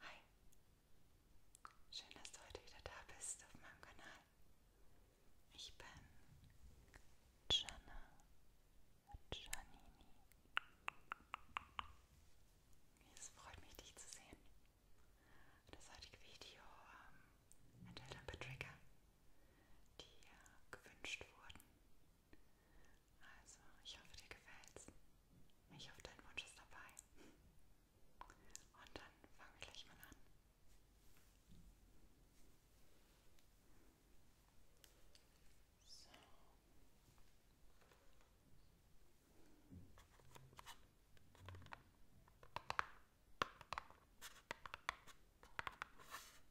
Hi, schön, dass du heute wieder da bist auf meinem Kanal. Ich bin Gianna Giannini. Es freut mich, dich zu sehen. Das heutige Video ähm, enthält ein paar Trigger, die äh, gewünscht wurden. Also, ich hoffe, dir gefällt's. Ich hoffe, dein Wunsch ist dabei. Und dann fangen wir gleich mal an. So. So,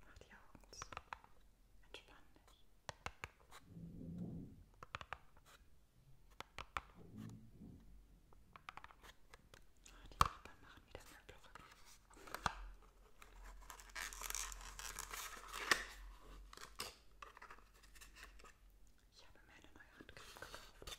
Mach die Augen zu. Entspann dich. Ach, die Nachbarn machen wieder Möbelrücken. Ich habe mir eine neue Handcreme gekauft.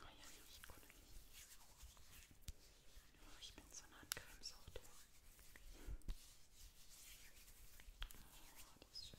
Oh ja, ich gut. Oh, ich bin so eine Handcremesucht. Oh, das ist schön.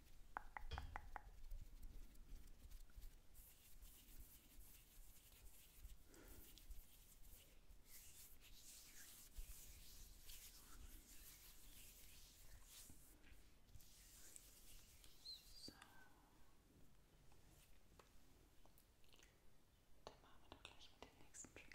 So. Dann machen wir doch gleich mit dem nächsten Trigger weiter.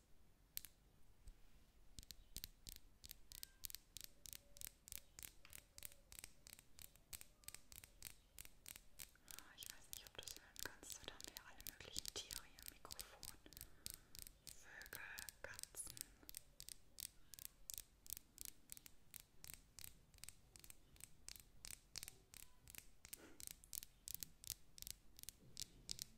Ah, ich weiß nicht, ob du es hören kannst. Dort haben wir alle möglichen Tiere hier im Mikrofon. Vögel, Katzen.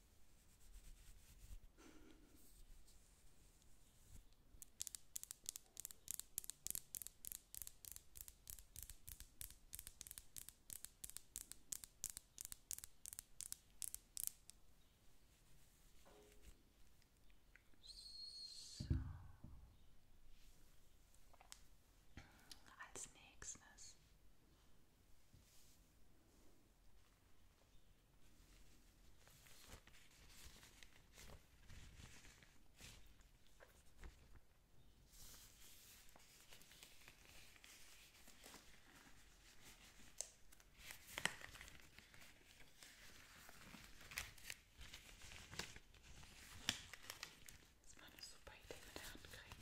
So. Als nächstes das war eine super Idee mit der Handcreme.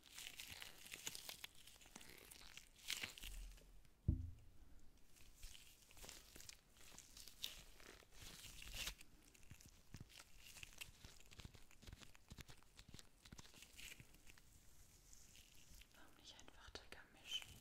Warum nicht einfach dicker mischen?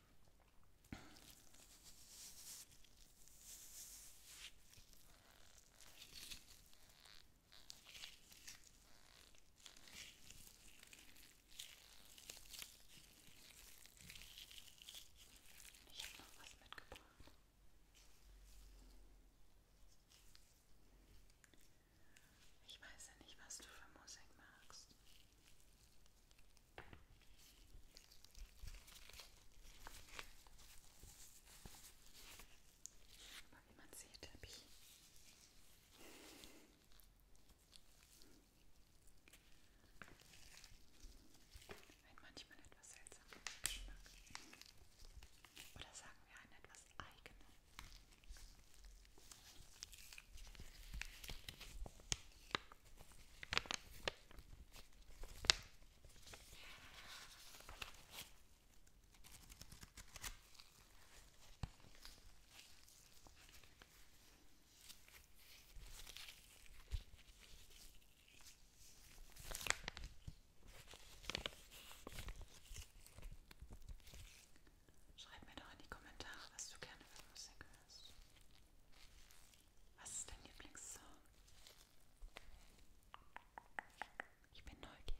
Ich habe noch was mitgebracht. Ich weiß ja nicht, was du für Musik magst. Mal wie man sieht, habe ich ein manchmal etwas seltsamer Geschmack. Oder sagen wir einen etwas eigenen. Schreib mir doch in die Kommentare, was du gerne für Musik hörst ist. Was ist dein Lieblingssong? Ich bin neugierig.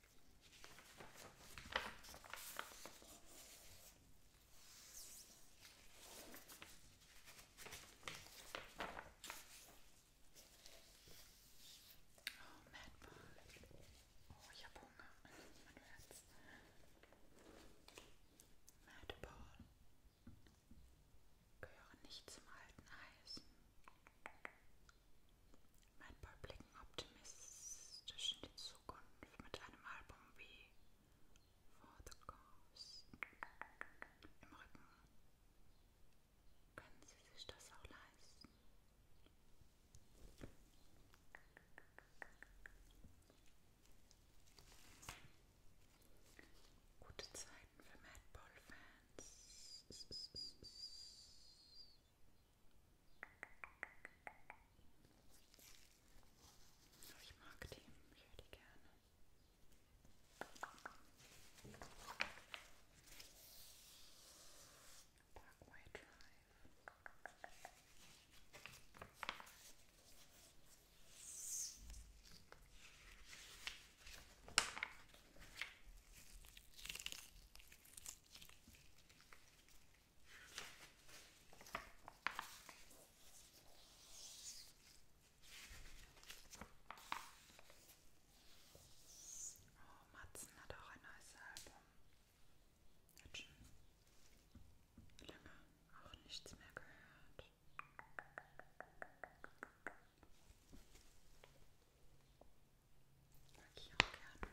Oh, Madball. Oh, ich habe Hunger. Man hört's. Madball. Gehören nicht zum alten Eisen. Ein paar blicken optimistisch in die Zukunft mit einem Album wie For the Cause im Rücken. Können Sie sich das auch leisten? Gute Zeiten für Madball-Fans. Oh, ich mag die, ich höre die gerne. Parkway Drive. Oh, Matzen hat auch ein neues Album. Hat schon lange auch nichts mehr gehört. Mag ich auch gerne.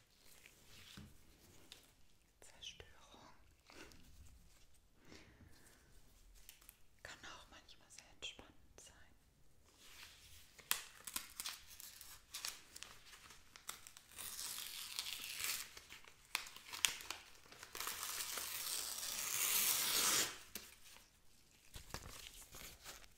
Zerstörung kann auch manchmal sehr entspannend sein.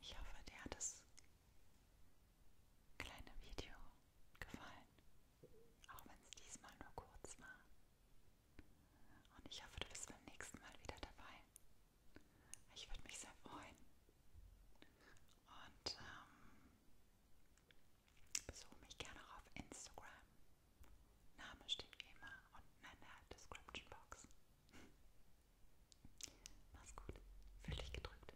Ich hoffe, dir hat das kleine Video gefallen, auch wenn es diesmal nur kurz war. Und ich hoffe, du bist beim nächsten Mal wieder dabei. Ich würde mich sehr freuen. Und ähm, besuche mich gerne auch auf Instagram. Name steht wie immer unten in der Description Box. Mach's gut. Fühl dich gedrückt.